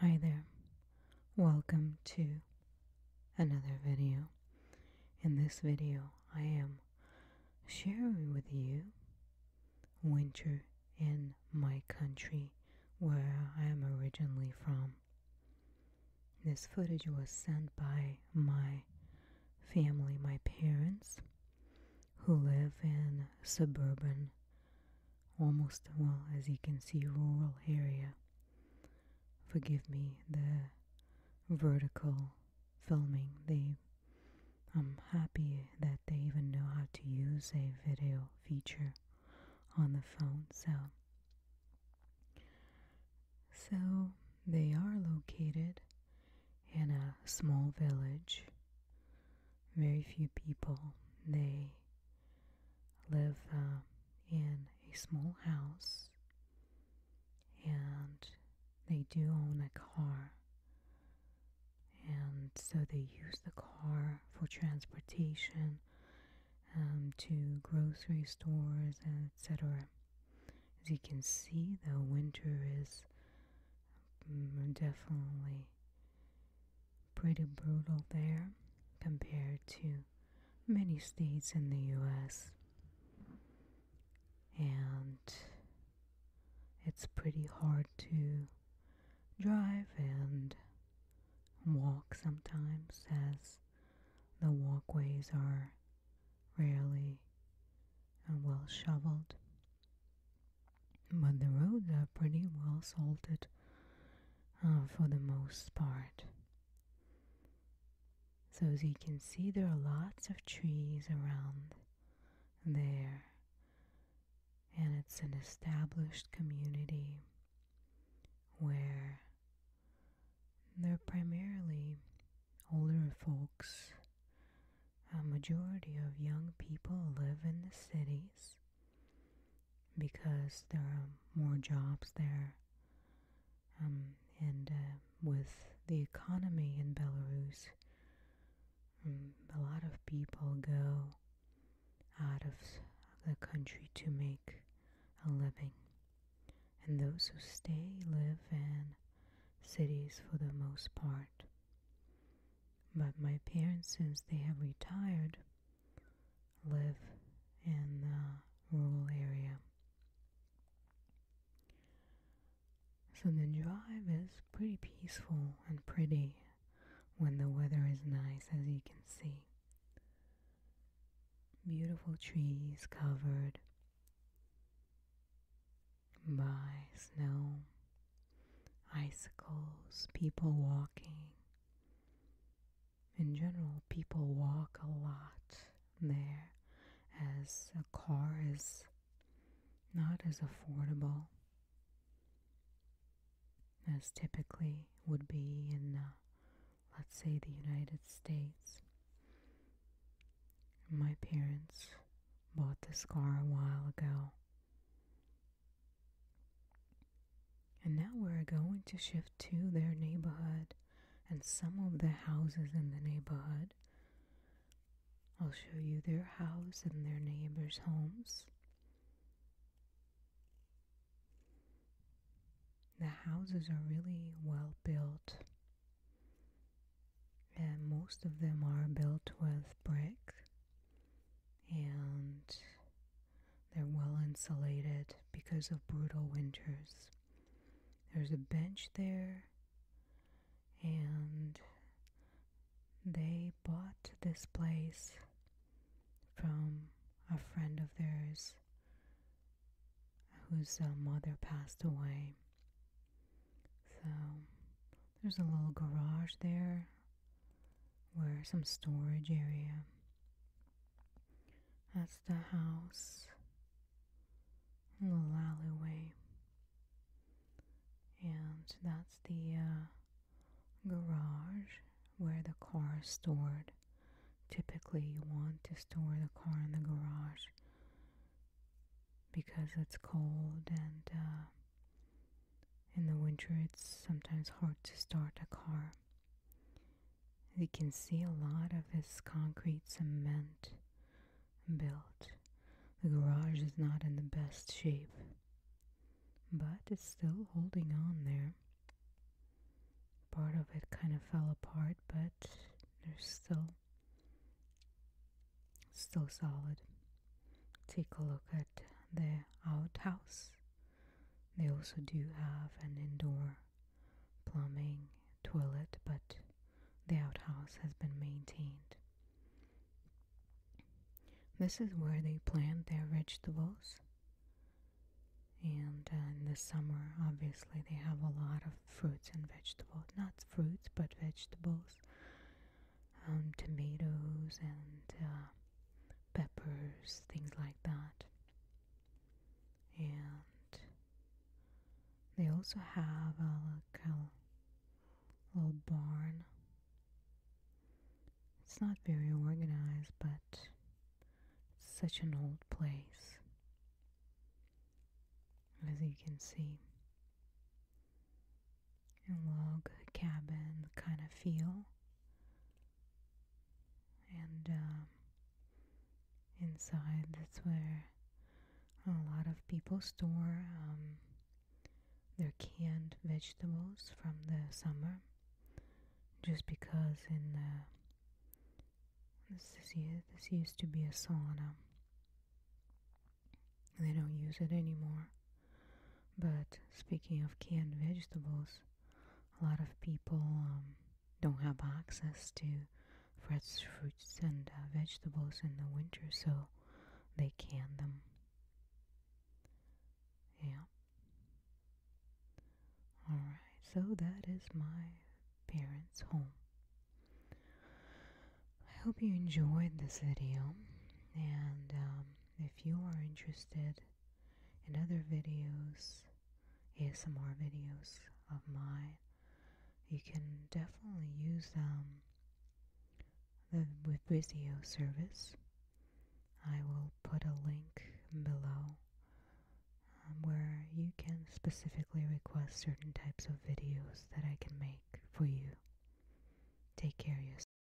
Hi there, welcome to another video. In this video, I am sharing with you winter in my country where I am originally from. This footage was sent by my family, my parents, who live in suburban, almost, well, as you can see, rural area. Forgive me the vertical filming. They, I'm happy that they even know how to use a video feature on the phone. So, so they are located in a small village very few people, they live um, in a small house and they do own a car. And so they use the car for transportation um, to grocery stores etc. As you can see, the winter is mm, definitely Pretty brutal there compared to many states in the US. And it's pretty hard to drive and walk sometimes as the walkways are rarely and uh, well shoveled but the roads are pretty well salted uh, for the most part. So, as you can see, there are lots of trees around there, and it's an established community where they're primarily older folks. A majority of young people live in the cities because there are more jobs there. Um, and uh, with the economy in Belarus, um, a lot of people go out of the country to make a living. And those who stay live in cities for the most part. But my parents, since they have retired, live in the rural area. So the drive is pretty peaceful and pretty when the weather is nice, as you can see. Beautiful trees covered by snow icicles, people walking. In general, people walk a lot there as a car is not as affordable as typically would be in, uh, let's say, the United States. My parents bought this car a while ago. And now we're going to shift to their neighborhood and some of the houses in the neighborhood. I'll show you their house and their neighbors' homes. The houses are really well built, and most of them are built with brick and they're well insulated because of brutal winters. There's a bench there, and they bought this place from a friend of theirs whose uh, mother passed away. So there's a little garage there where some storage area. That's the house, a little alleyway, and that's the uh, garage where the car is stored. Typically, you want to store the car in the garage because it's cold and uh, in the winter, it's sometimes hard to start a car. We can see a lot of this concrete cement built. The garage is not in the best shape, but it's still holding on there. Part of it kind of fell apart, but there's still still solid take a look at the outhouse. They also do have an indoor plumbing toilet, but the outhouse has been maintained. This is where they plant their vegetables. And uh, in the summer, obviously, they have a lot of fruits and vegetables. Not fruits, but vegetables. Um, tomatoes and uh, peppers, things like that. And they also have uh, a little, little barn. It's not very organized, but such an old place. As you can see, and log cabin kind of feel. And um, inside, that's where a lot of people store um, their canned vegetables from the summer just because in this is this used to be a sauna they don't use it anymore but speaking of canned vegetables, a lot of people um, don't have access to fresh fruits and uh, vegetables in the winter, so they can them. Yeah. Alright, so that is my parents' home. I hope you enjoyed this video and um, if you are interested in other videos, ASMR videos of mine, you can definitely use um, with Vizio service. I will put a link below um, where you can specifically request certain types of videos that I can make for you. Take care of yourself.